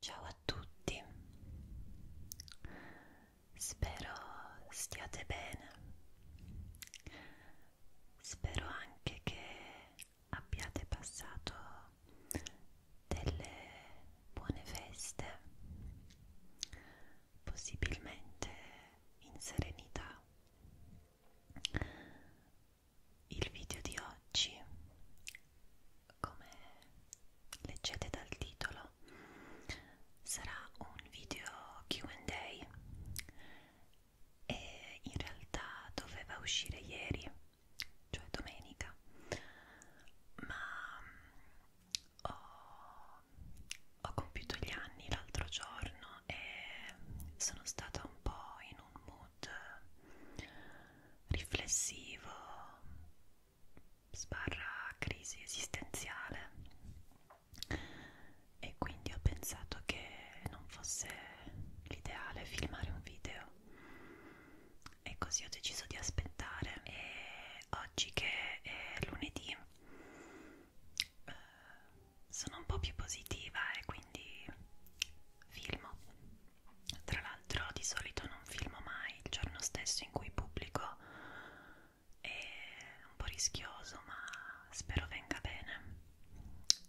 Ciao a tutti, spero stiate bene, spero anche che abbiate passato delle buone feste, possibilmente in serenità. Il video di oggi come leggete dal titolo sarà un video QA e in realtà doveva uscire ieri, cioè domenica, ma mm, ho, ho compiuto gli anni l'altro giorno e sono stata un po' in un mood riflessivo sbarra crisi esistenziale e quindi ho pensato che non fosse l'ideale filmare un video e così ho deciso di aspettare e oggi che è lunedì eh, sono un po' più positiva e quindi filmo tra l'altro di solito non filmo mai il giorno stesso in cui pubblico, è un po' rischioso ma spero venga bene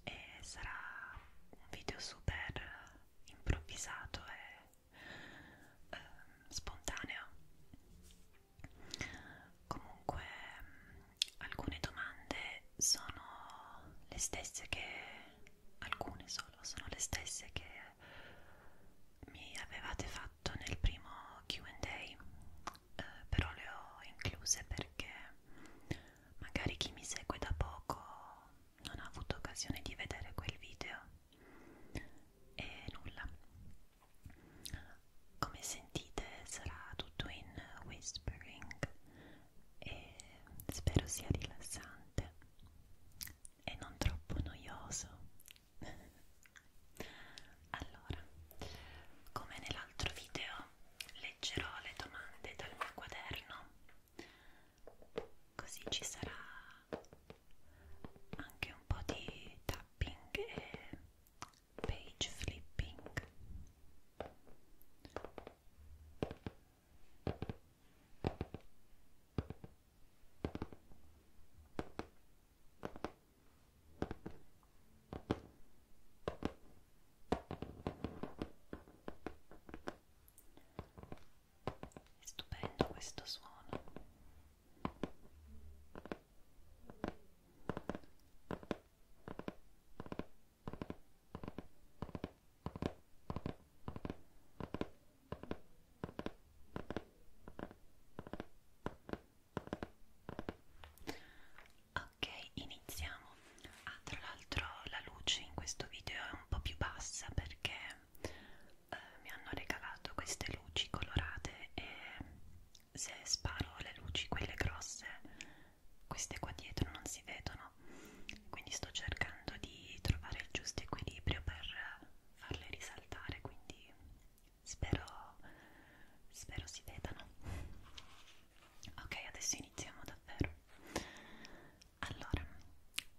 e sarà un video super improvvisato e eh, spontaneo. Comunque alcune domande sono le stesse che alcune solo sono le stesse che mi avevate fatto nel primo QA, eh, però le ho incluse perché magari chi mi segue da poco non ha avuto occasione di vedere quel video e nulla. Come sentite sarà tutto in whispering e spero sia rilassante e non troppo noioso. allora, come nell'altro video, leggerò le domande dal mio quaderno, così ci sarà anche un po' di tapping e page flipping. È stupendo questo suono. Ok, iniziamo. Ah, tra l'altro la luce in questo video è un po' più bassa perché eh, mi hanno regalato queste luci colorate e se sparo le luci, quelle grosse, queste qua dietro non si vedono. Quindi sto cercando di trovare il giusto equilibrio per farle risaltare quindi spero spero si vedano ok adesso iniziamo davvero allora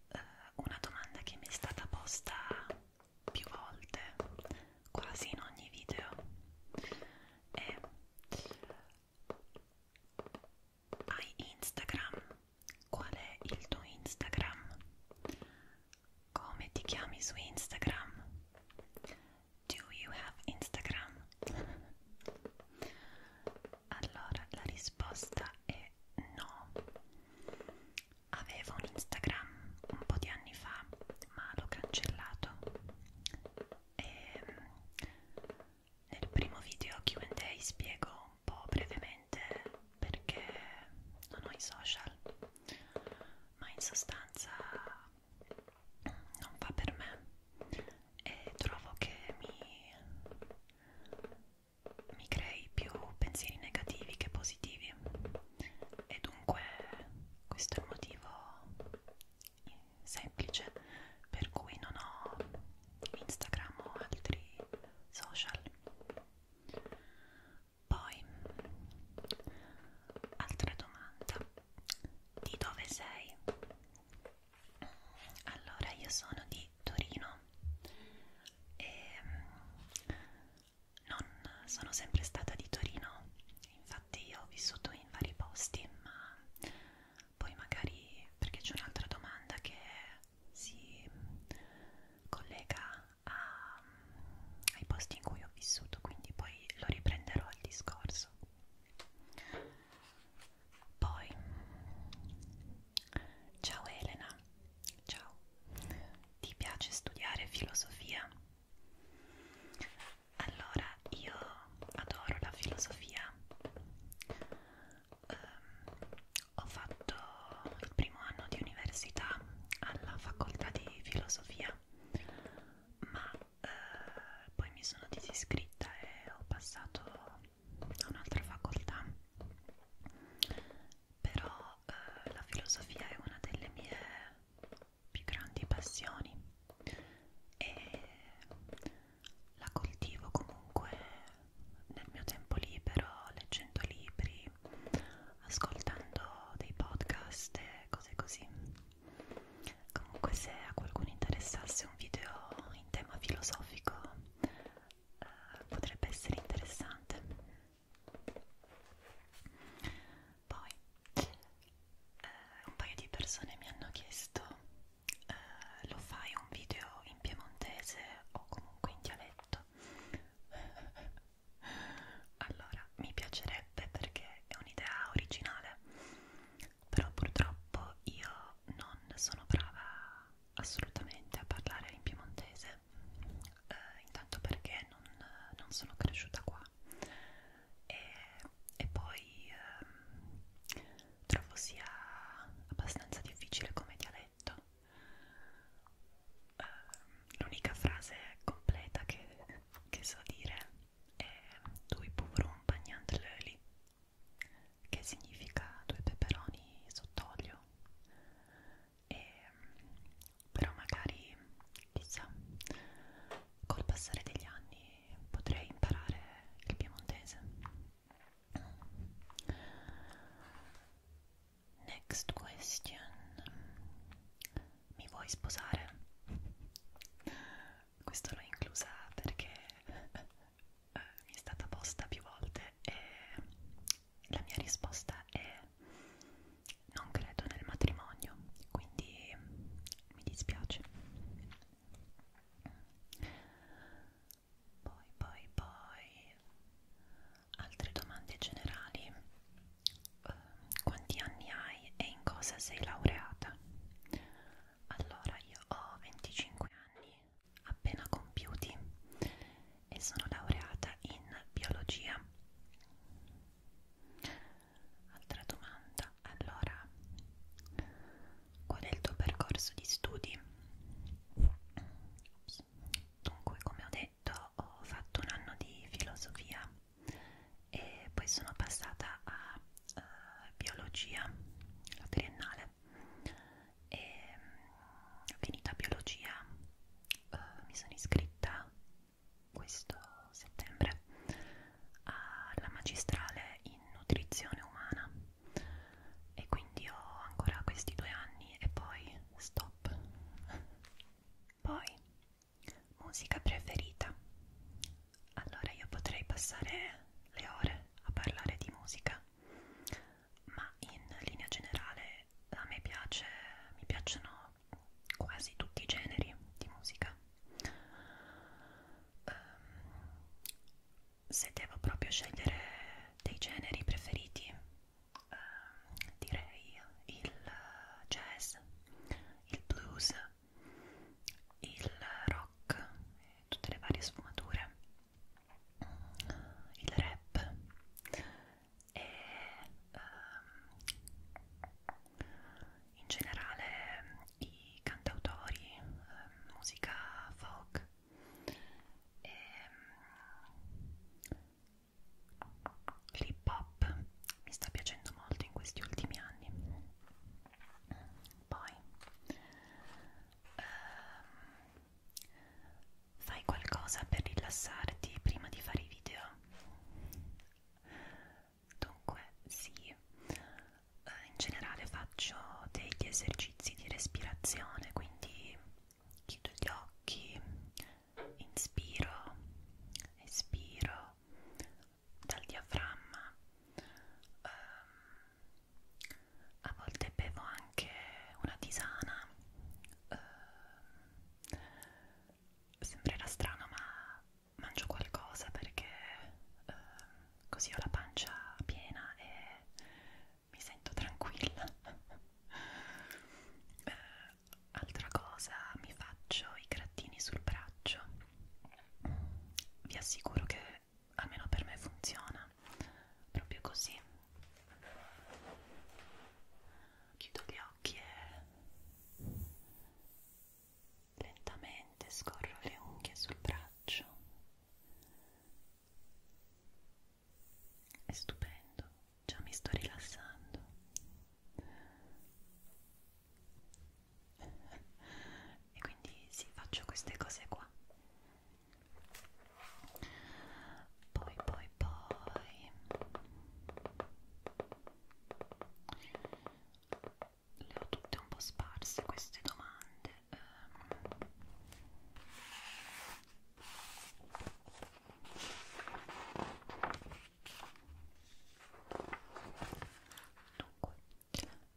eh, una domanda che mi è stata posta più volte quasi in ogni video è hai Instagram qual è il tuo Instagram? Come ti chiami su Instagram? Do you have Instagram? Allora, la risposta è no. Avevo un Instagram un po' di anni fa, ma l'ho cancellato. E ehm, nel primo video QA spiego un po' brevemente veramente perché non ho i social ma in sostanza non va per me e trovo che mi, mi crei più pensieri negativi che positivi e dunque questo è il motivo semplice per cui non ho Instagram o altri social poi, altra domanda, di dove sei? Allora, io sono di Torino e ehm, non sono sempre stata di Torino, infatti io ho vissuto in vari posti, ma poi magari perché c'è un'altra domanda che si collega a, ai posti in cui ho vissuto, quindi poi lo riprenderò il discorso. Poi, ciao Elena, ciao, ti piace studiare filosofia? Allora, io adoro la filosofia. Um, ho fatto il primo anno di università alla facoltà di filosofia, ma eh, poi mi sono disiscritta e ho passato a un'altra facoltà. Però eh, la filosofia è una delle mie più grandi passioni e la coltivo comunque nel mio tempo libero, leggendo libri, ascoltando dei podcast e cose così. Comunque se a qualcuno interessasse un video in tema filosofico eh, potrebbe essere interessante. Poi eh, un paio di persone mi hanno chiesto eh, lo fai un video in piemontese o comunque in dialetto Allora, mi piacerebbe perché è un'idea originale, però purtroppo io non sono brava assolutamente a parlare in piemontese, eh, intanto perché non, non sono cresciuta qua e, e poi eh, trovo sia abbastanza difficile come dialetto uh, l'unica frase completa che, che so dire è due povron bagnant l'oli che significa due peperoni sott'olio e però magari chissà col passare degli anni potrei imparare il piemontese Next question. Mi vuoi sposare? Questo l'ho inclusa perché eh, mi è stata posta più volte e la mia risposta è non credo nel matrimonio, quindi mi dispiace. Poi, poi, poi altre domande generali uh, quanti anni hai e in cosa sei laureata? allora io ho 25 anni appena compiuti e sono laureata in biologia altra domanda allora qual è il tuo percorso di studi? Dunque, come ho detto, ho fatto un anno di filosofia e poi sono passata a uh, biologia, la triennale e um, mm, finita biologia uh, mi sono iscritta questo settembre alla magistrale in nutrizione umana e quindi ho ancora questi due anni e poi stop poi, musica preferita. Allora io potrei passare le ore a parlare di musica, ma in linea generale a me piace, mi piacciono quasi tutti i generi di musica. Um, se devo proprio scegliere dei generi preferiti, eh, direi il jazz, il blues, il rock, tutte le varie sfumature, il rap e ehm, in generale i cantautori, eh, musica folk e, ehm, l'hip hop mi sta piacendo molto in questi ultimi anni poi ehm, fai qualcosa per rilassarti prima di fare i video dunque sì eh, in generale faccio degli esercizi di respirazione quindi chiudo gli occhi inspiro, espiro dal diaframma. Um, a volte bevo anche una tisana. Um, sembrerà strano, ma mangio qualcosa perché um, così ho la pancia piena e mi sento tranquilla. uh, altra cosa mi faccio i grattini sul braccio vi assicuro che almeno per me funziona proprio così chiudo gli occhi e lentamente scorro le unghie sul braccio è stupendo, già mi sto rilassando. e quindi sì, faccio queste cose qua. Poi, poi, poi le ho tutte un po' sparse queste domande. Um, Dunque,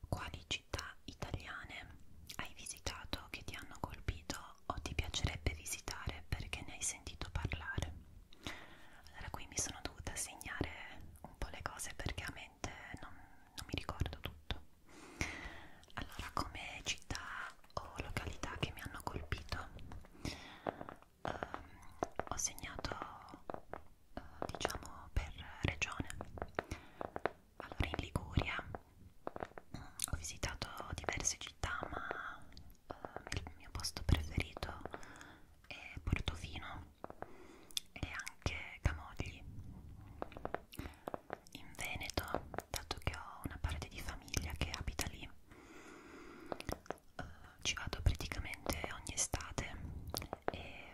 quali città italiane hai visitato che ti hanno colpito o ti piacerebbe visitare perché ne hai sentito parlare? Allora, qui mi sono dovuta segnare un po' le cose perché a mente non, non mi ricordo tutto. Allora, come città o località che mi hanno colpito eh, ho segnato eh, diciamo per regione allora in Liguria mh, ho visitato diverse città ma eh, il mio posto preferito è Portofino e anche Camogli in Veneto dato che ho una parte di famiglia che abita lì uh, ci vado praticamente ogni estate e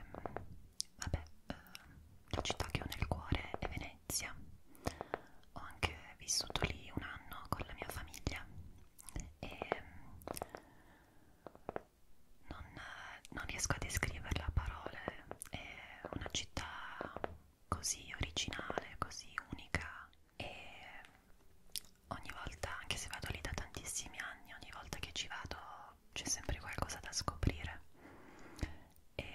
vabbè uh, la città che ho nel cuore è Venezia ho anche vissuto lì un anno con la mia famiglia e non, non riesco a descriverla a parole è una città così originale, così unica e ogni volta, anche se vado lì da tantissimi anni, ogni volta che ci vado c'è sempre qualcosa da scoprire e,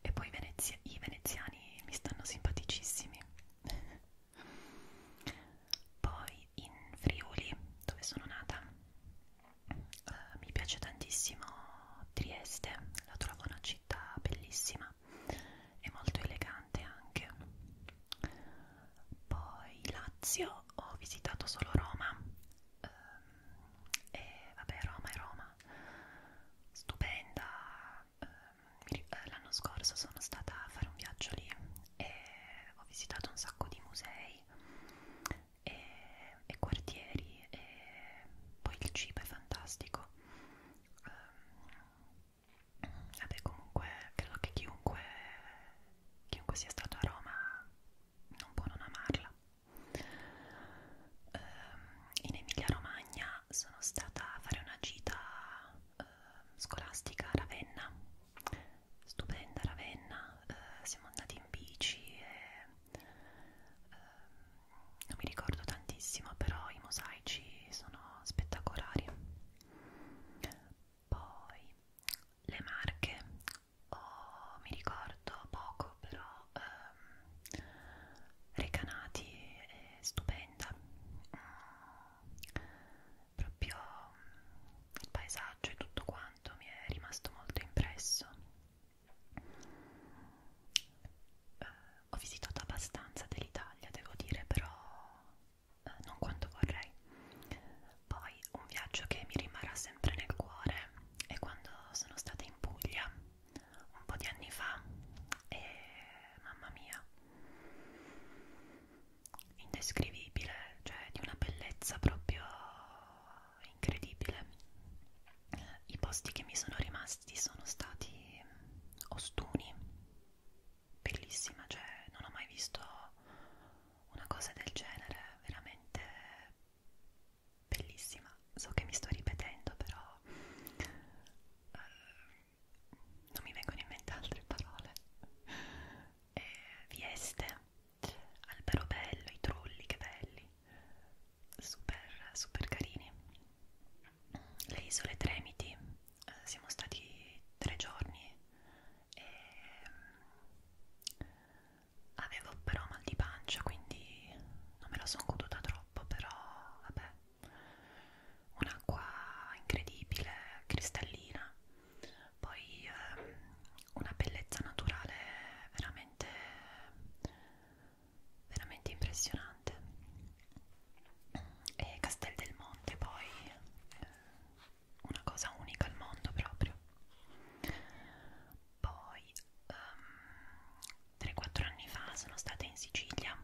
e poi Venezia, i veneziani mi stanno simpaticissimi poi in Friuli, dove sono nata, eh, mi piace tantissimo Trieste, la trovo una città bellissima è molto elegante anche poi Lazio ho visitato solo Roma ehm, e vabbè Roma è Roma stupenda ehm, eh, l'anno scorso sono stata a fare un viaggio lì e ho visitato un sacco di musei e, e quartieri e poi il cibo è fantastico ehm, Vabbè comunque credo che chiunque, chiunque sia stato a Roma non può non amarla. Eh, in Emilia Romagna sono stata a fare una gita eh, scolastica a Ravenna, stupenda Ravenna, eh, siamo andati in bici e eh, non mi ricordo tantissimo però i mosaici sono spettacolari poi le marche, oh, mi ricordo poco, però ehm, Recanati è eh, stupenda, mm, proprio mm, il paesaggio e tutto quanto mi è rimasto molto impresso. Eh, ho visitato abbastanza dell'Italia, devo dire, però eh, non quanto vorrei. Poi un viaggio che mi rimarrà sempre nel cuore è quando sono stata in Puglia un po' di anni fa e mamma mia, indescrivibile, cioè di una bellezza proprio incredibile. I posti che mi sono rimasti sono stati Ostuni bellissima, cioè non ho mai visto una cosa del genere, veramente bellissima. So che mi sto ripetendo, però eh, non mi vengono in mente altre parole. Eh, vieste, albero bello, i trulli, che belli, super, super carini. Le isole Tremiti eh, siamo stati tre giorni e mh, mm, avevo però mal di pancia quindi non me la sono goduta troppo però vabbè un'acqua incredibile cristallina poi ehm, una bellezza naturale veramente veramente impressionante e Castel del Monte poi eh, una cosa unica al mondo proprio poi um, ehm, 3-4 anni fa sono stata in Sicilia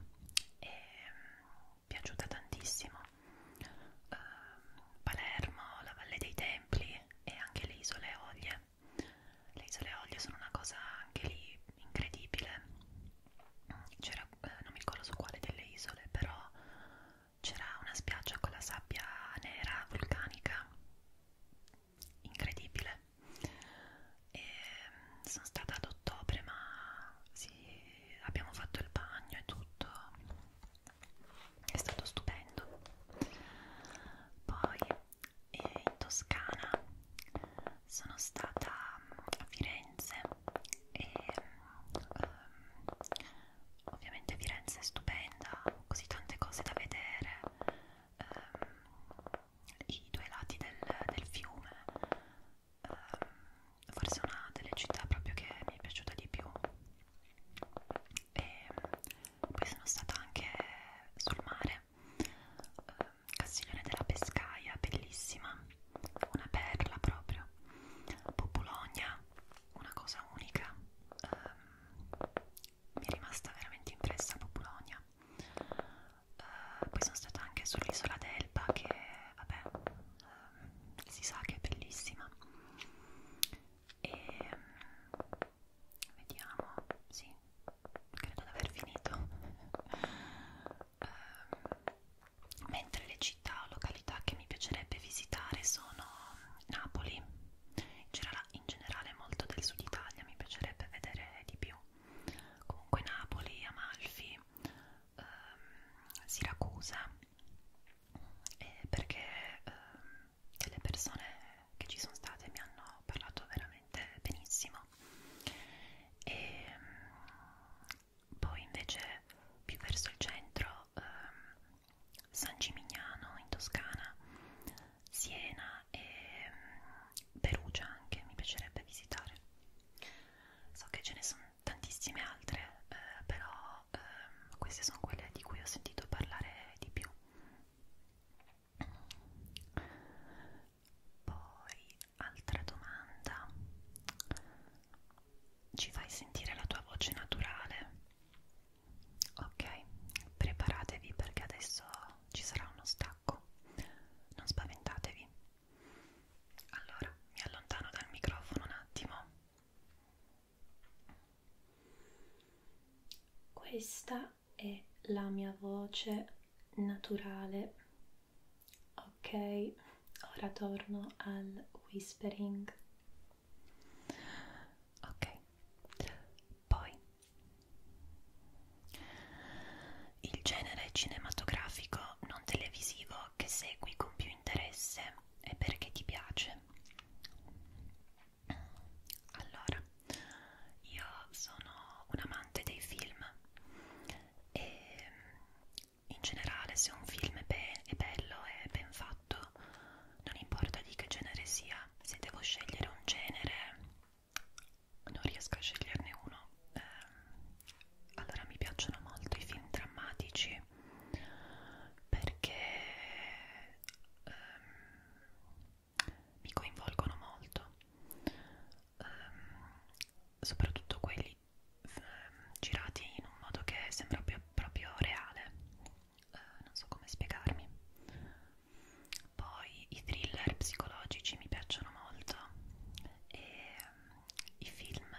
e mm, mi è piaciuta tantissimo um, Palermo, la Valle dei Templi e anche le Isole Olie le Isole Olie sono una cosa anche lì incredibile c'era, eh, non mi ricordo su quale delle isole, però c'era una spiaggia con la sabbia nera vulcanica incredibile. E mm, sono stata ad ottobre, ma sì, abbiamo fatto il bagno e tutto, è stato stupendo. Poi eh, in Toscana sono stata mm, a Firenze e um, ovviamente Firenze è stupenda, così tante cose da vedere, um, i due lati del, del fiume, um, forse una delle città proprio che mi è piaciuta di più e poi sono stata anche sul mare, um, Castiglione della Pescaia, bellissima una perla proprio. Popologna, una cosa unica. Um, mi è rimasta veramente impressa Popologna. Uh, eh, poi sono stata anche sull'isola d'Elba che, vabbè, um, si sa che è bellissima. E um, vediamo, sì, credo di aver finito ehm, mentre le città o località che mi piacerebbe visitare sono Napoli, in generale molto del sud Italia, mi piacerebbe vedere di più, comunque Napoli, Amalfi, ehm, Siracusa, eh, perché ehm, delle persone che ci sono state mi hanno parlato veramente benissimo e ehm, poi invece più verso il centro ehm, San Gimignano in Toscana, Siena e ehm, Perugia anche mi piacerebbe visitare. So che ce ne sono tantissime altre, eh, però ehm, queste sono quelle di cui ho sentito parlare di più. Poi altra domanda ci fai sentire la tua voce naturale ok preparatevi perché adesso ci sarà uno stacco non spaventatevi allora mi allontano dal microfono un attimo questa è la mia voce naturale Ok, ora torno al whispering. Ok, poi il genere cinematografico non televisivo che segui con più interesse e perché ti piace. Allora, io sono un amante dei film e in generale se un film è, be è bello e ben fatto non importa di che genere sia se devo scegliere un genere non riesco a sceglierne uno eh, allora mi piacciono molto i film drammatici perché ehm, mi coinvolgono molto ehm, soprattutto quelli Ehm, girati in un modo che sembra più, proprio reale eh, non so come spiegarmi poi i thriller psicologici mi piacciono molto e um, i film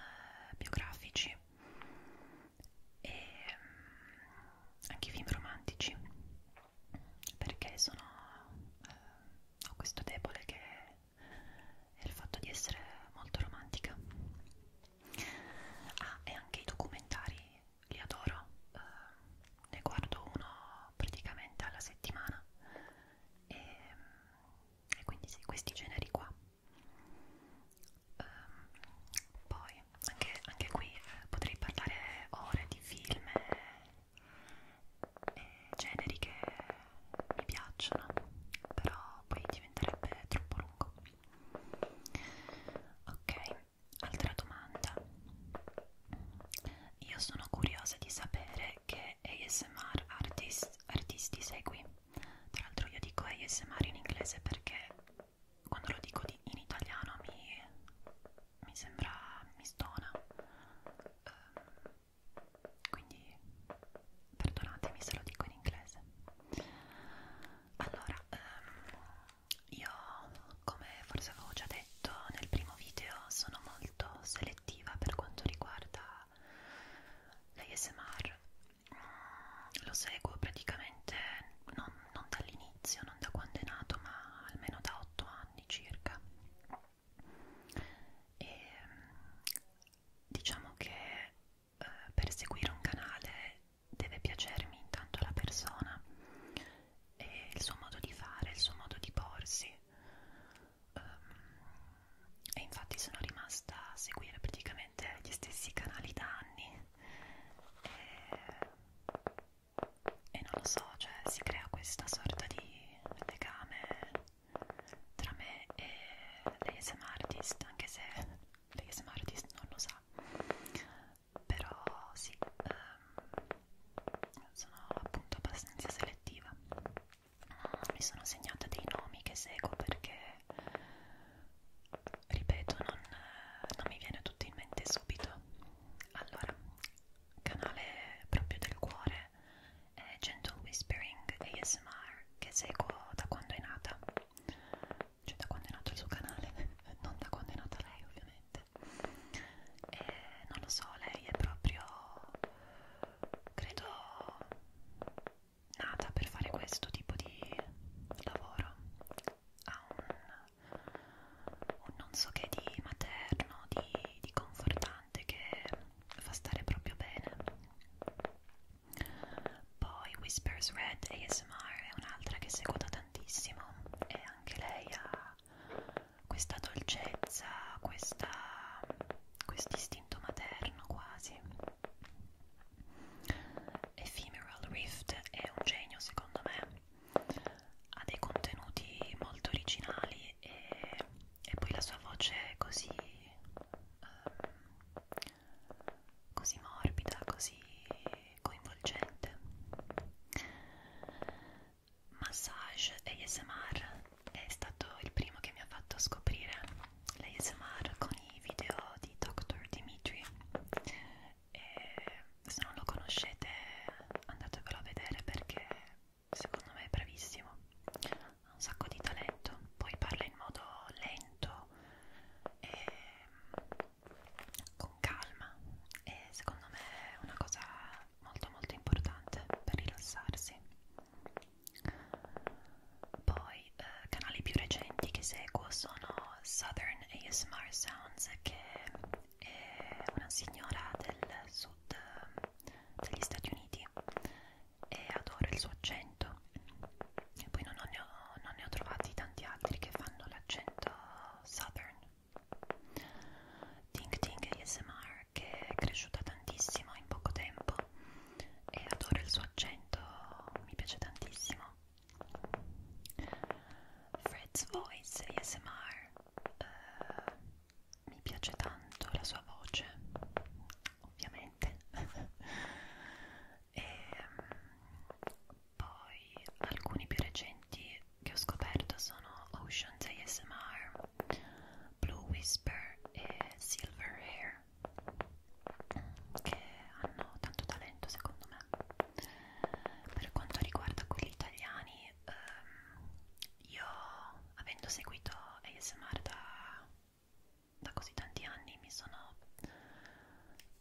biografici e um, anche i film romantici perché sono uh, ho questo debole che è il fatto di essere molto romantica Ah, e anche i documentari li adoro, eh, ne guardo uno praticamente alla settimana e, ehm, e quindi sì, questi generi qua. Eh, poi anche, anche qui eh, potrei parlare ore di film e, e generi che mi piacciono, però poi diventerebbe troppo lungo. Ok, altra domanda. Io sono curiosa di sapere che ASMR artist, artisti segui. Tra l'altro io dico ASMR in inglese perché quando lo dico di, in italiano mi, mi sembra mi stona. Um, quindi perdonatemi se lo dico in inglese allora ehm, io come forse avevo già detto nel primo video sono molto selettiva per quanto riguarda l'ASMR mm, lo seguo praticamente non, non dall'inizio, non da quando è nato ma almeno da 8 anni circa e mm, diciamo che eh, per seguire un canale deve piacermi intanto la persona e il suo modo di fare, il suo modo di porsi um, e infatti sono rimasta a seguire praticamente gli stessi canali da anni e, e non lo so, cioè si crea questa sorta di legame tra me e l'ASM artist anche se perché se Martis non lo sa però sì ehm, sono appunto abbastanza selettiva mi sono segnata dei nomi che seguo perché ripeto non, non mi viene tutto in mente subito allora canale proprio del cuore è Gentle Whispering ASMR che seguo da quando è nata cioè da quando è nato il suo canale, non da quando è nata lei ovviamente e non lo so, lei è proprio, credo, nata per fare questo tipo di lavoro ha un, un non so che di materno, di, di confortante che fa stare proprio bene poi Whispers Red ASMR è un'altra che seguo da tantissimo e anche lei ha questa dolcezza, questo quest istinto materno quasi. Ephemeral Rift è un genio secondo me, ha dei contenuti molto originali e, e poi la sua voce è così um, così morbida, così coinvolgente. Massage ASMR è stato il primo che mi ha fatto scoprire l'ASMR con i video di Dr. Dimitri e se non lo conoscete andatevelo a vedere perché secondo me è bravissimo ha un sacco di talento poi parla in modo lento e, ehm, con calma e secondo me è una cosa molto molto importante per rilassarsi poi eh, canali più recenti che seguo sono Southern ASMR Sounds che è una signora del sud eh, degli Stati Uniti e adoro il suo accento l'accento e poi non, ho, non ne ho trovati tanti altri che fanno l'accento southern Ting Ting ASMR che è cresciuta tantissimo in poco tempo e adoro il suo accento, mi piace tantissimo Fred's Voice ASMR uh, eh, mi piace tanto la sua voce ovviamente e ehm, poi alcuni più recenti che ho scoperto sono Ocean's ASMR, Blue Whisper e Silver Hair che hanno tanto talento secondo me per quanto riguarda quelli italiani ehm, io avendo seguito ASMR da da così tanti anni mi sono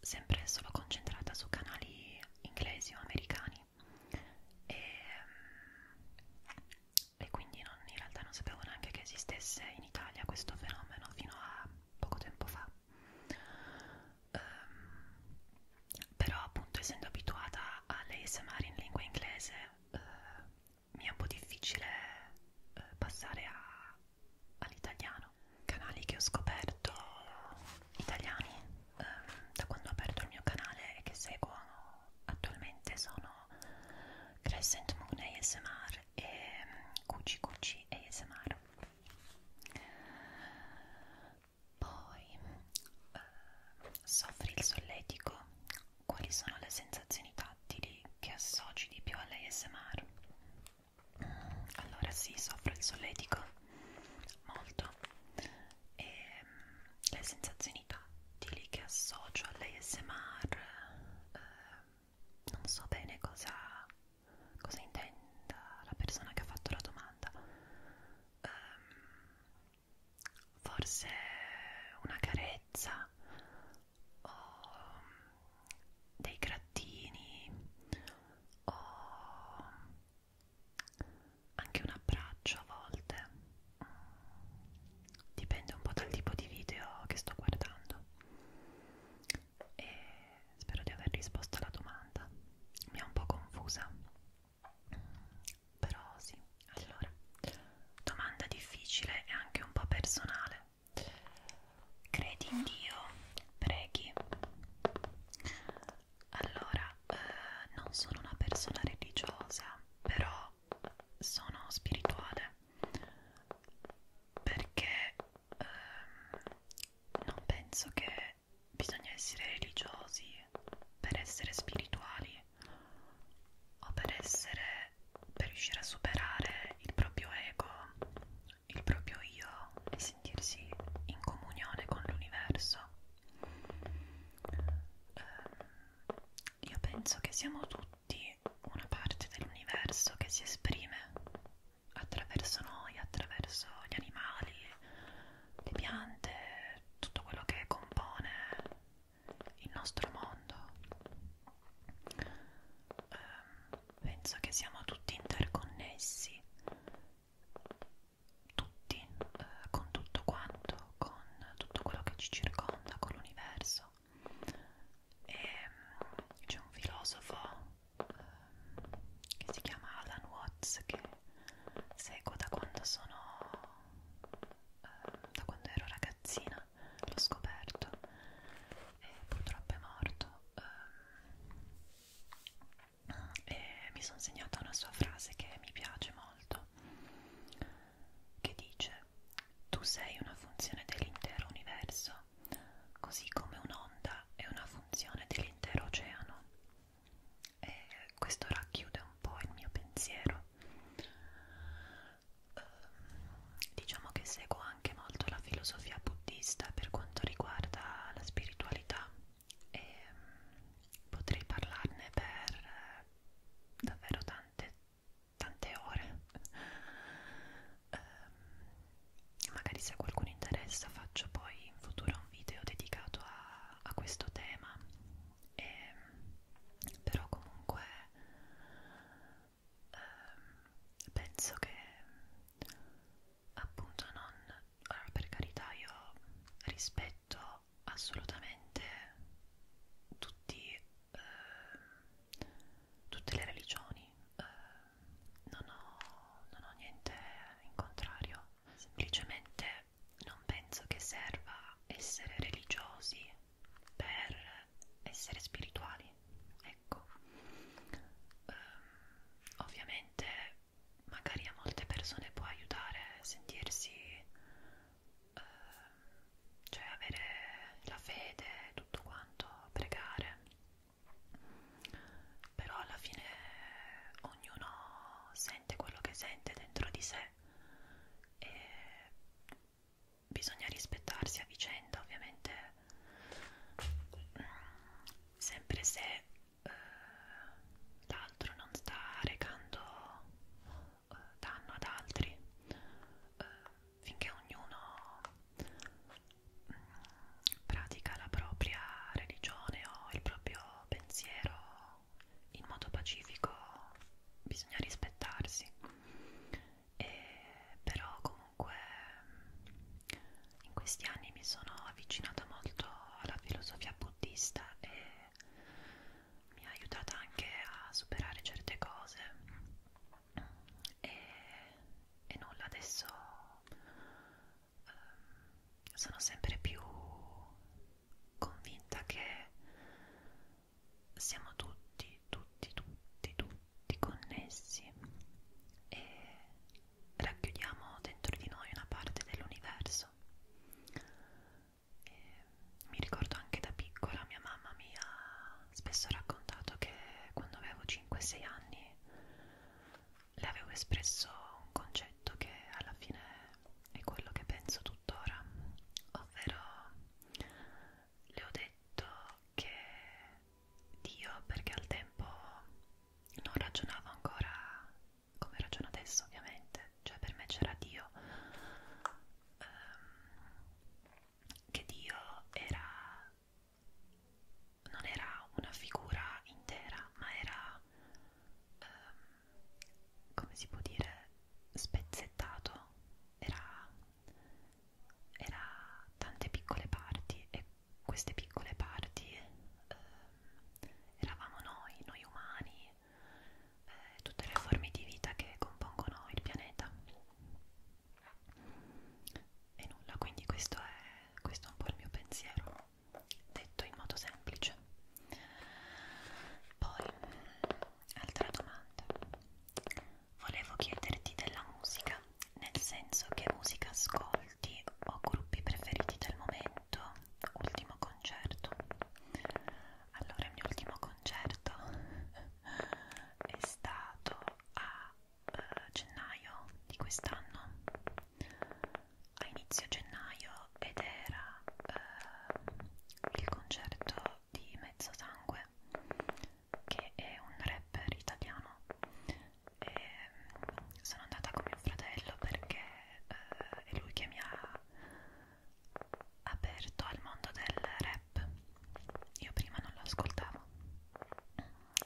sempre solo concentrata su canali inglesi o americani e, mm, e quindi non, in realtà non sapevo neanche che esistesse in Italia questo fenomeno fino a poco tempo fa um, però appunto essendo abituata all'ASMR in lingua inglese uh, mi è un po' difficile uh, passare a all'italiano canali che ho scoperto italiani eh, da quando ho aperto il mio canale e che seguo attualmente sono Crescent Moon ASMR e Cucci ehm, Cucci ASMR poi eh, soffri il solletico quali sono le sensazioni tattili che associ di più all'ASMR allora sì, soffro il solletico molto e mm, le sensazioni tattili che associo all'ASMR eh, non so bene cosa, cosa intenda la persona che ha fatto la domanda eh, forse una carezza o mm, dei grattini o anche un abbraccio a volte dipende un po' dal tipo di video che sto guardando e spero di aver risposto alla domanda mi ha un po' confusa però sì allora domanda difficile e anche un po' personale credi in Dio, preghi. Allora, eh, non sono una persona religiosa, però sono spirituale perché eh, non penso che bisogna essere religiosi per essere spirituali o per essere per riuscire a superare il proprio ego il proprio io e sentirsi in comunione con l'universo. Um, io penso che siamo tutti una parte dell'universo che si esprime attraverso noi, attraverso gli animali, le piante, tutto quello che compone il nostro mondo. Um, penso che siamo tutti interconnessi, tutti, eh, con tutto quanto, con tutto quello che ci circonda, con l'universo. E mm, c'è un filosofo eh, che si chiama Alan Watts che seguo da quando sono eh, da quando ero ragazzina, l'ho scoperto e purtroppo è morto. Eh, e mi sono segnata una sua frase che mi piace molto che dice tu sei una funzione dell'intero universo così come un'onda è una funzione dell'intero oceano e questo racchiude un po' il mio pensiero ehm, diciamo che seguo anche molto la filosofia buddista per quanto riguarda la spiritualità e mm, potrei parlarne per eh, davvero tante, tante ore. Um, magari se a qualcuno interessa faccio poi in futuro un video dedicato a, a questo tema. E, ehm, però comunque um, penso che appunto non allora per carità io rispetto assolutamente tutti eh, tutte le religioni eh, non, ho, non ho niente in contrario semplicemente non penso che serva essere religiosi per essere spirituali ecco um, ovviamente magari a molte persone può aiutare a sentirsi uh, cioè avere la fede tutto quanto pregare però alla fine ognuno sente quello che sente dentro di sé e bisogna rispettarsi a vicenda ovviamente sempre se eh, l'altro non sta recando eh, danno ad altri eh, finché ognuno mh, mm, pratica la propria religione o il proprio pensiero in modo pacifico bisogna rispettarsi e però comunque comunque in questi anni mi sono avvicinata molto alla filosofia buddista e mi ha aiutata anche a superare certe cose e, e nulla adesso um, sono sempre più convinta che siamo tutti tutti tutti tutti connessi e racchiudiamo dentro di noi una parte dell'universo. Mi ricordo anche da piccola, mia mamma mi ha spesso raccontato che quando avevo 5-6 anni le avevo espresso un concetto che alla fine è quello che penso tuttora, ovvero le ho detto che Dio perché al tempo non ragionavo ancora come ragiono adesso ovviamente, cioè per me c'era Dio um, che Dio era non era una figura intera ma era um, come si può dire spezzettato era, era tante piccole parti e queste piccole parti eh, eravamo noi, noi umani, eh, tutte le forme di vita che compongono il pianeta. E nulla, quindi questo è, questo è un po' il mio pensiero, detto in modo semplice. Poi, altra domanda. Volevo chiederti della musica, nel senso che musica ascolti molti ho gruppi preferiti del momento, ultimo concerto. Allora, il mio ultimo concerto è stato a eh, gennaio di quest'anno, a inizio gennaio, ed era eh, il concerto di Mezzosangue, che è un rapper italiano e sono andata con mio fratello perché eh, è lui che mi ha aperto al mondo del rap io prima non lo ascoltavo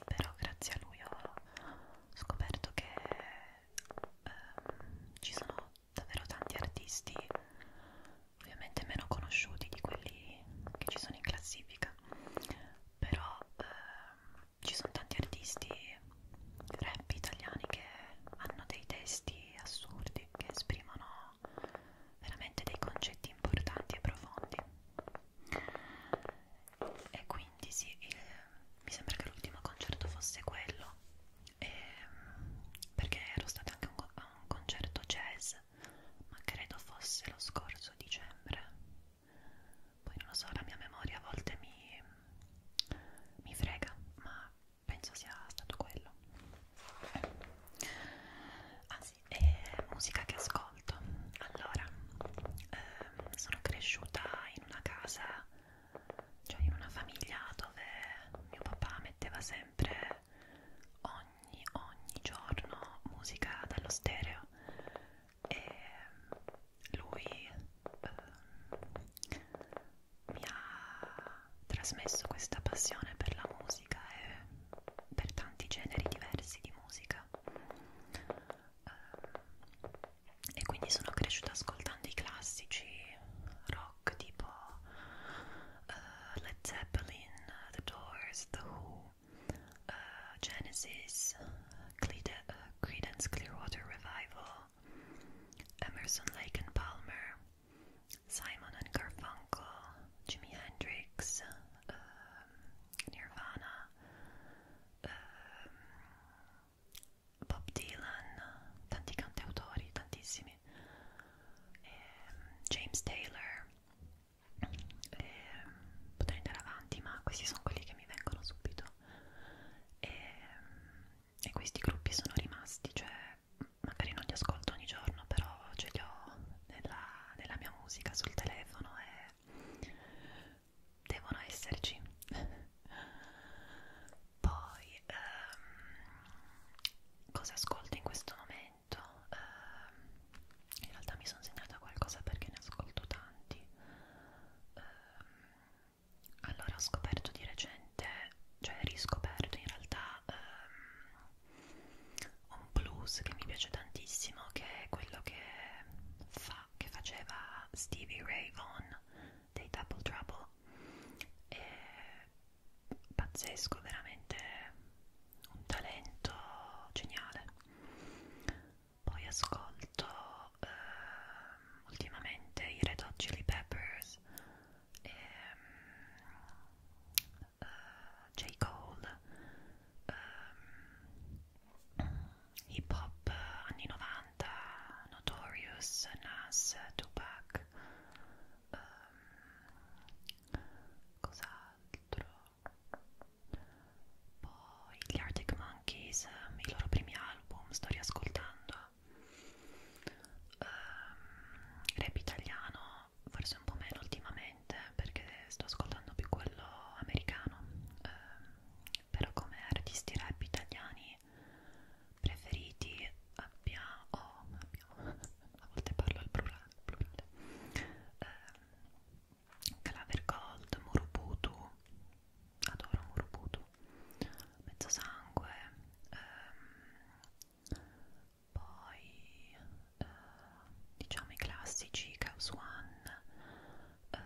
però grazie a lui ho scoperto che ehm, ci sono davvero tanti artisti ovviamente meno conosciuti di quelli che ci sono in classifica però eh, ci sono tanti artisti rap italiani che hanno dei testi assurdi che esprimono veramente dei concetti importanti e profondi e quindi sì il, mi sembra che l'ultimo concerto fosse quello e, perché ero stata anche un, a un concerto jazz ma credo fosse lo scorso dicembre poi non lo so, la mia memoria a volte mi, mi frega, ma penso sia stato quello. Ah sì, e musica che ascolto. Allora, ehm, sono cresciuta in una casa, cioè in una famiglia dove mio papà metteva sempre ogni, ogni giorno musica dallo stereo e lui eh, mi ha trasmesso questa passione per la musica e per tanti generi diversi di musica eh, e quindi sono cresciuta ascoltando i classici rock tipo eh, Led Zeppelin, The Doors, The Who uh, Genesis, Cleda, uh, Credence Clearwater Revival, Emerson, Lake and Palmer, Simon and Garfunkel, Jimi Hendrix, um, Nirvana, um, Bob Dylan, tanti cantautori, tantissimi, um, James Taylor. E ehm, potrei andare avanti, ma questi sono quelli che mi vengono subito e, e questi gruppi sono rimasti, cioè magari non li ascolto ogni giorno, però ce li ho nella, nella mia musica sul telefono e devono esserci. Poi um, cosa ascolto in questo momento? Um, in realtà mi sono segnata qualcosa perché ne ascolto tanti. Um, allora ho scoperto di recente, cioè riscoperto in realtà um, un blues che mi piace tantissimo che è quello che fa, che faceva Stevie Ray Vaughan dei Double Trouble è pazzesco, veramente un talento geniale poi ascolto ehm, ultimamente i Red Hot Chili Peppers e ehm, eh, J. Cole ehm, hip hop anni 90 Notorious, Nas, Tupac ehm, cos'altro poi gli Arctic Monkeys, ehm, i loro primi album, sto riascoltando. Um, rap italiano, forse un po' meno ultimamente perché sto ascoltando più quello americano, um, però come artisti rap italiani preferiti abbiamo, oh, abbiamo a volte parlo al plurale, plurale. Um, Claver Gold, Muruputu, adoro un rubuto mezzo sangue ehm, poi eh, diciamo i classici Chaos One ehm,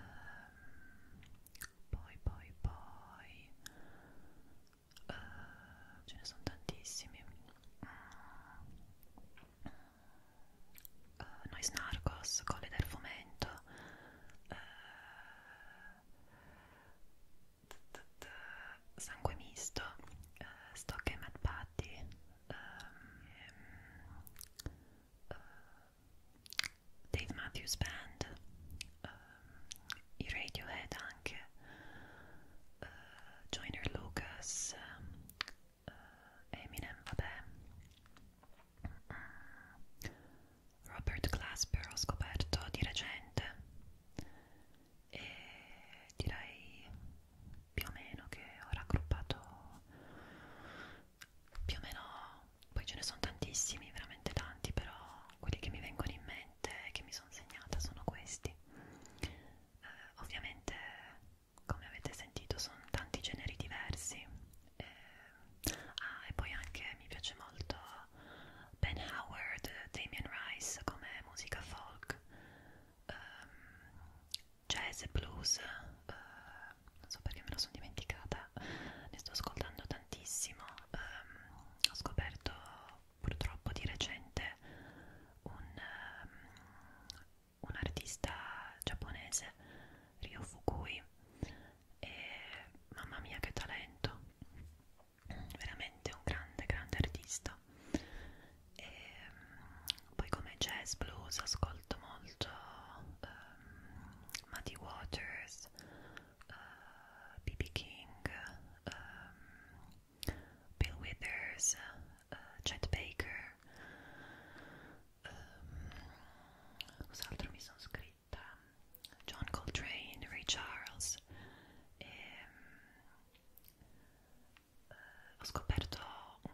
poi poi poi eh, ce ne sono tantissimi Uh, eh, Nois Narcos, Colle del Fomento, uh, eh, t -t -t sangue misto, uh, eh, stock e mad patty, um, ehm, uh, eh, Dave Matthews Band, um, i Radiohead anche, uh, Joyner Lucas, uh, Eminem, vabbè Ah, Robert Glasper ho scoperto di recente e direi più o meno che ho raggruppato più o meno poi ce ne sono tantissimi veramente tanti però quelli che mi vengono in mente che mi sono segnata sono questi eh, ovviamente come avete sentito sono tanti generi diversi eh, ah, e poi anche mi piace molto Ben Howard, Damien Rice come musica folk, um, jazz e blues, uh, non so perché me la sono dimenticata, ne sto ascoltando tantissimo, um, ho scoperto purtroppo di recente un, um, un artista giapponese, Ryo Fukui, e mamma mia che talento veramente un grande grande artista e mm, poi come jazz blues ascolto molto um, Muddy Waters B.B. Eh, uh, King um, Bill Withers uh, Chet Baker um, cos'altro mi sono scritto da um, John Coltrane, Ray Charles e um, eh, ho scoperto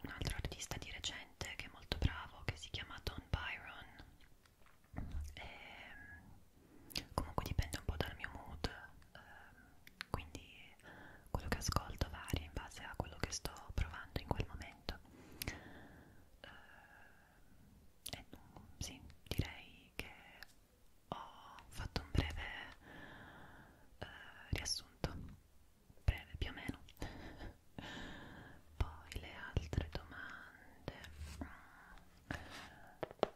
un altro artista di recente che è molto bravo che si chiama Don Byron e, ehm, comunque dipende un po' dal mio mood um, quindi quello che ascolto varia in base a quello che sto provando in quel momento uh, e eh, non, sì, direi che ho fatto un breve eh, riassunto, breve più o meno. Poi le altre domande.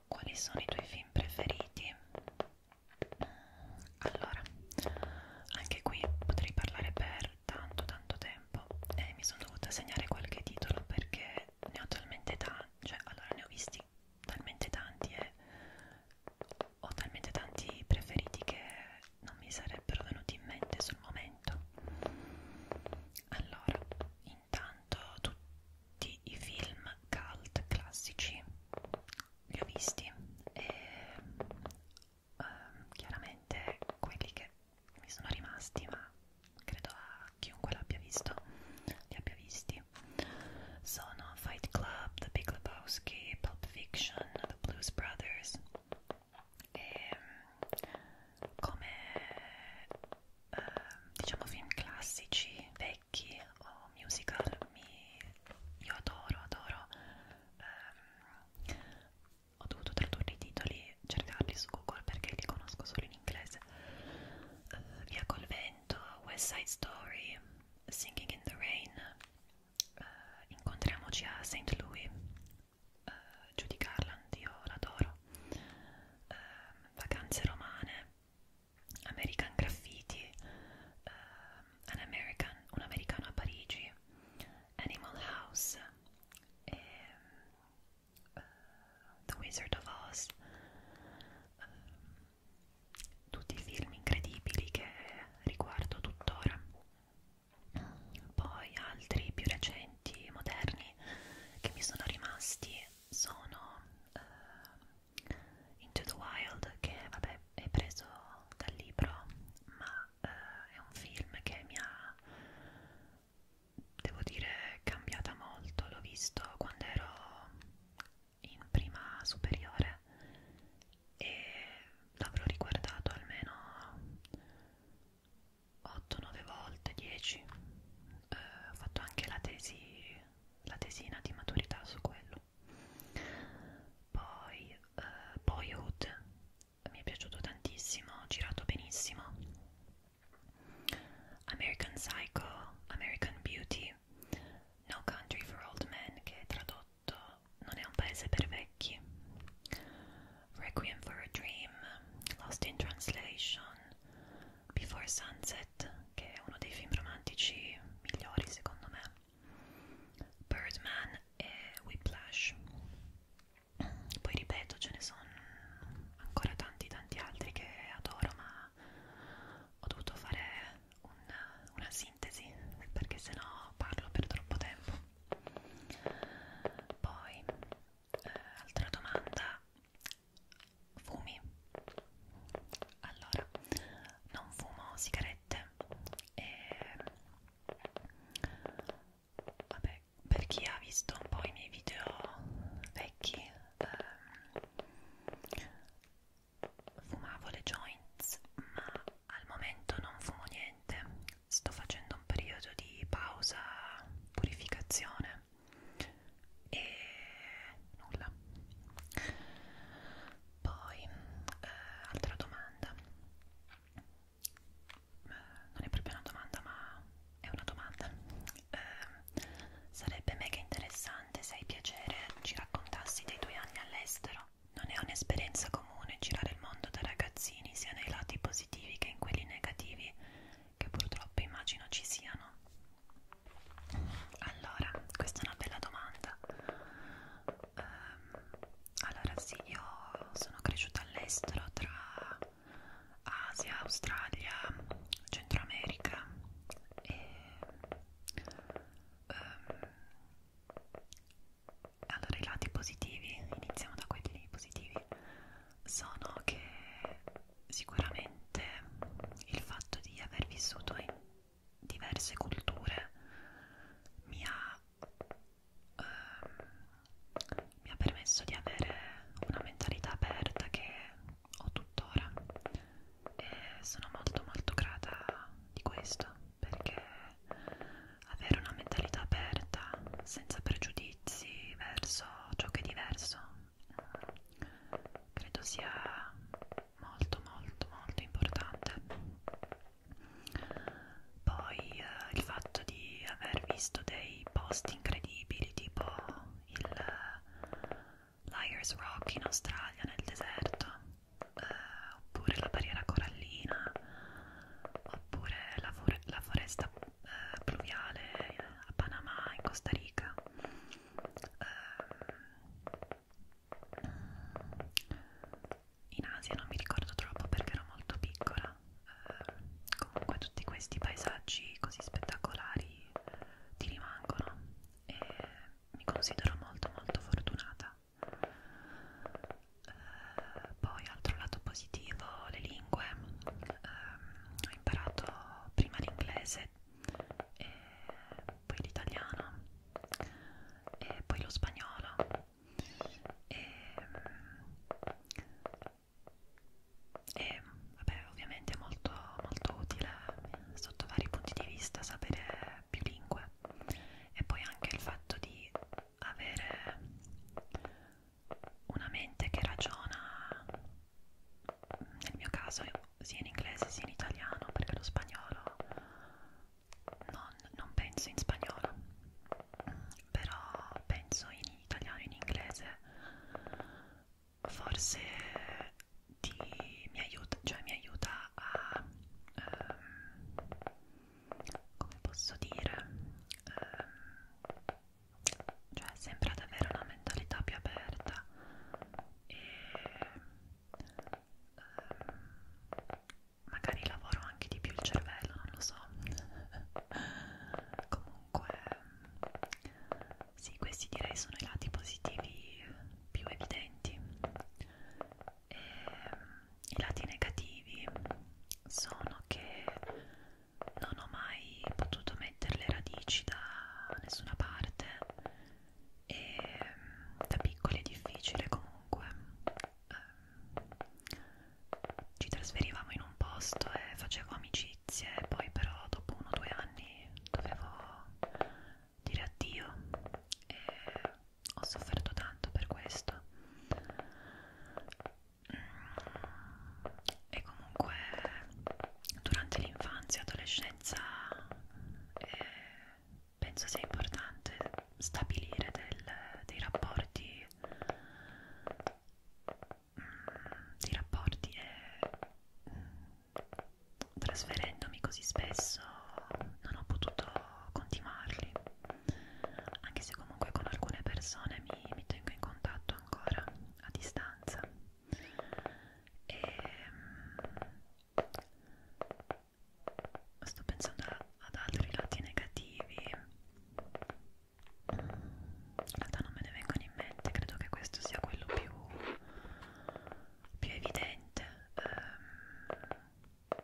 Quali sono i tuoi film preferiti? Allora, anche qui potrei parlare per tanto tanto tempo tempo e mi sono dovuta segnare qualche titolo perché ne ho talmente tanti, cioè allora ne ho visti talmente tanti e ho talmente tanti preferiti che non mi sarebbero venuti in mente sul momento. Allora, intanto tutti i film cult classici li ho visti e um, chiaramente quelli che mi sono rimasti ma credo a chiunque l'abbia visto li abbia visti sono Fight Club, The Big Lebowski, Pulp Fiction, The Blues Brothers e come eh, diciamo film classici vecchi o musical mi, io adoro adoro ehm, ho dovuto tradurre i titoli, cercarli su Google perché li conosco solo in inglese. Uh, Via col vento, West Side Story, Singing in the Rain, uh, Incontriamoci a St. Louis, uh, Judy Garland, io l'adoro, uh, Vacanze romane, American Graffiti, uh, An American, Un americano a Parigi, Animal House e uh, The Wizard of Oz, uh, tutti i film incredibili che riguardo tuttora, poi altri più recenti, moderni, che mi sono rimasti sono uh, Into the Wild, che vabbè è preso dal libro, ma uh, è un film che mi ha devo dire cambiata molto, l'ho visto quando ero in prima superiore e l'avrò riguardato almeno 8-9 volte, 10. Eh, ho fatto anche la tesi, la tesina di maturità su quello. Poi eh, Boyhood mi è piaciuto tantissimo, girato benissimo American Psycho, American Beauty, No Country for Old Men, che è tradotto Non è un paese per vecchi, Requiem for a Dream, Lost in Translation, Before Sunset, che è uno dei film romantici migliori secondo me, Birdman e Whiplash poi ripeto ce ne sono ancora tanti tanti altri che adoro ma ho dovuto fare un, una sintesi perché sennò parlo per troppo tempo poi eh, altra domanda fumi allora non fumo sigarette e vabbè, per chi ha visto un po' i miei video vecchi, ehm, fumavo le joints, ma al momento non fumo niente. Sto facendo un periodo di pausa, purificazione e nulla. Poi, eh, altra domanda non è proprio una domanda ma è una domanda eh, sarebbe mega interessante se hai piacere ci raccontassi dei tuoi anni all'estero non è un'esperienza comune girare il mondo da ragazzini sia nei lati positivi che in quelli negativi che purtroppo immagino ci siano allora questa è una bella domanda um, allora sì io sono cresciuta all'estero tra Asia, Australia, Centro America e um, allora i lati positivi, iniziamo da quelli positivi, sono che sicuramente il fatto di aver vissuto in diverse culture mi ha um, mi ha permesso di avere una mentalità aperta che ho tuttora e sono molto molto grata di questo perché avere una mentalità aperta senza pregiudizi verso ciò che è diverso credo sia molto molto molto importante poi eh, il fatto di aver visto dei post incredibili tipo il eh, Liars Rock in Australia nel deserto, eh, oppure la barriera corallina, oppure la, for la foresta eh, pluviale eh, a Panama, in Costa Rica. Eh, in Asia non mi ricordo troppo perché ero molto piccola eh, comunque tutti questi paesaggi così spettacolari ti rimangono e mi considero molto molto fortunata eh, poi altro lato positivo le lingue eh, ho imparato prima l'inglese e poi l'italiano e poi lo spagnolo e ehm, e vabbè ovviamente è molto, molto utile eh, sotto vari punti di vista sapere più lingue e poi anche il fatto di avere una mente che ragiona nel mio caso sia in inglese sia in italiano perché lo spagnolo non, non penso in spagnolo però penso in italiano in inglese forse ti, mi aiuta, cioè mi aiuta a, um, come posso dire, um, cioè sempre ad avere una mentalità più aperta e um, magari lavoro anche di più il cervello, non lo so. Comunque comunque sì questi direi sono i lati positivi più evidenti e i lati negativi sono che non ho mai potuto mettere le radici da nessuna parte e da piccoli è difficile comunque ehm, ci trasferivamo in un posto e facevo amicizie, poi però dopo uno o due anni dovevo dire addio e ho sofferto tanto per questo. Mm, e comunque durante l'infanzia e adolescenza eh, penso sia importante stabilire del, dei rapporti di rapporti e mm, trasferendomi così spesso non ho potuto continuarli anche se comunque con alcune persone mi, mi tengo in contatto ancora a distanza e mm, sto pensando ad altri lati negativi in realtà non me ne vengono in mente, credo che questo sia quello più, più evidente. Um,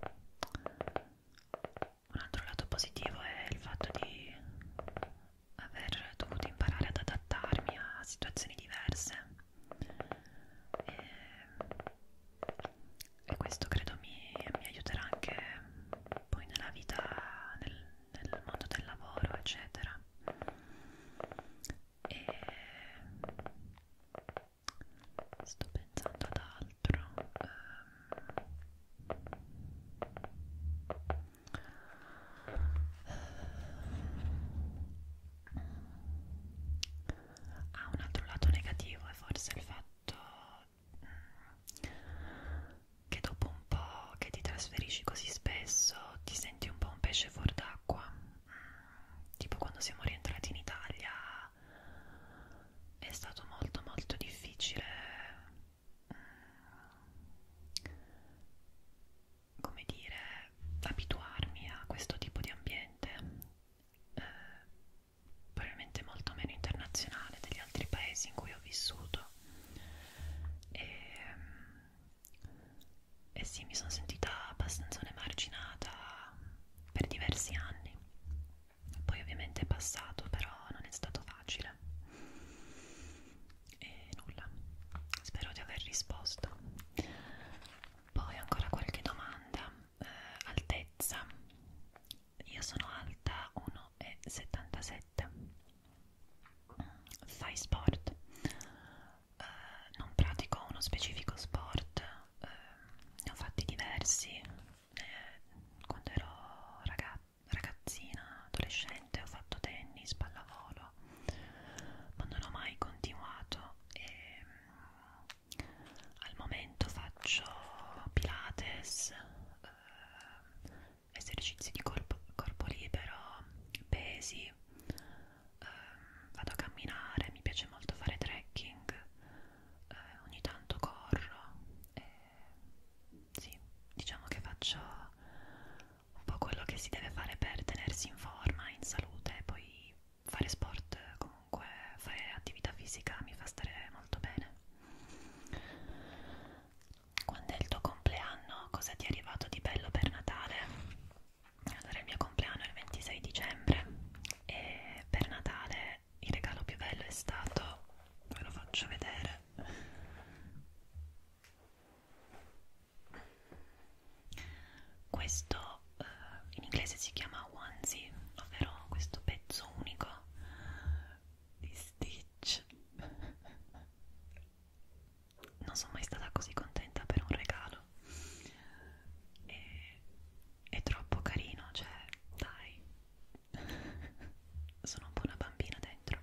un altro lato positivo è il fatto di aver dovuto imparare ad adattarmi a situazioni diverse e, ehm, e questo credo mi, mi aiuterà anche poi nella vita, nel, nel mondo del lavoro eccetera e sto pensando ad altro ehm, ha ah, un altro lato negativo è forse il fatto che dopo un po' che ti trasferisci così spesso ti senti un po' un pesce fuor d'acqua mm, tipo quando siamo rientrati in Italia è stato molto molto difficile mm, come dire abituarmi a questo tipo di ambiente eh, probabilmente molto meno internazionale degli altri paesi in cui ho vissuto e ehm, e eh sì, mi sono sentita abbastanza un'emarginata per diversi anni. Poi ovviamente è passato, però non è stato facile. E nulla, spero di aver risposto. Poi ancora qualche domanda. Eh, altezza. Io sono alta 1,77 fai sport eh, non pratico uno specifico sport eh, ne ho fatti diversi eh, quando ero raga ragazzina adolescente ho fatto tennis pallavolo ma non ho mai continuato e mm, al momento faccio pilates eh, esercizi di corpo, corpo libero, pesi, eh, vado a camminare, mi piace molto fare trekking, eh, ogni tanto corro, eh, sì, diciamo che faccio un po' quello che si deve fare per tenersi in forma, in salute, e poi fare sport comunque, fare attività fisica mi fa stare molto bene quando è il tuo compleanno? Cosa ti è arrivato di bello per Natale? Allora il mio compleanno è il 26 dicembre e per Natale il regalo più bello è stato, ve lo faccio vedere, questo eh, in inglese si chiama onesie, ovvero questo pezzo unico di Stitch non sono mai stata così contenta per un regalo e, è troppo carino cioè dai sono un po' una bambina dentro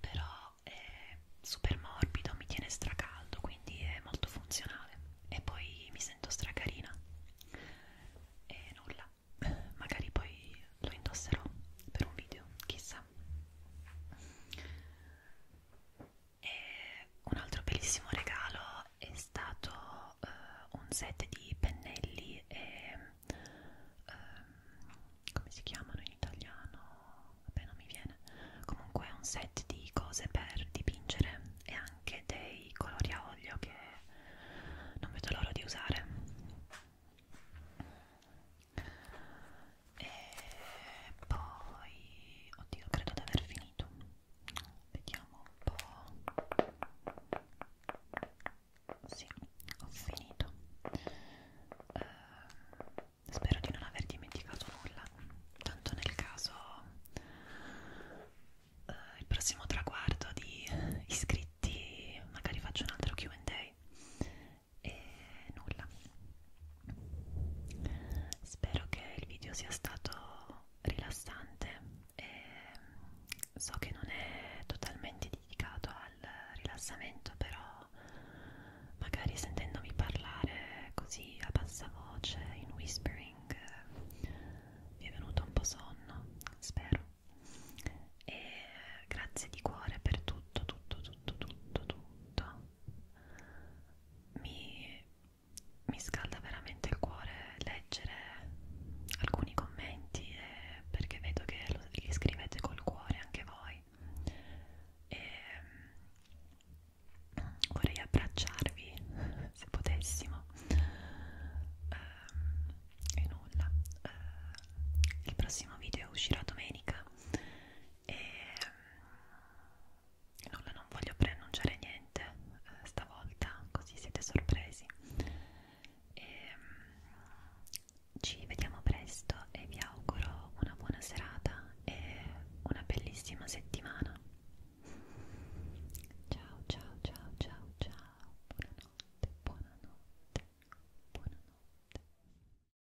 però è super morbido mi tiene stracaldo quindi è molto funzionale e poi mi sento stracarina e nulla magari poi lo indosserò per un video chissà e un altro bellissimo regalo è stato uh, un set di pennelli e uh, come si chiamano in italiano? Vabbè, non mi viene. Comunque è un set di cose per dipingere e anche dei colori a olio che non vedo l'ora di usare e poi oddio credo di aver finito vediamo un po' sì ho finito eh, spero di non aver dimenticato nulla tanto nel caso eh, il prossimo traguardo di iscritti magari faccio un altro Q&A e nulla spero che il video sia stato rilassante e so che non è totalmente dedicato al rilassamento però magari sentendomi parlare così a bassa voce in whispering mi è venuto un po' sonno spero e grazie di cuore per tutto tutto tutto tutto tutto mi, mi scalda veramente il cuore leggere alcuni commenti eh, perché vedo che lo, li scrivete col cuore anche voi e mm, vorrei abbracciarvi se potessimo ehm, e nulla eh, il prossimo video uscirà domenica e mm, nulla non voglio preannunciare niente eh, stavolta così siete sorpresi e, mm, ci vediamo presto e vi auguro una buona serata e una bellissima settimana ciao ciao ciao ciao ciao buonanotte buonanotte buonanotte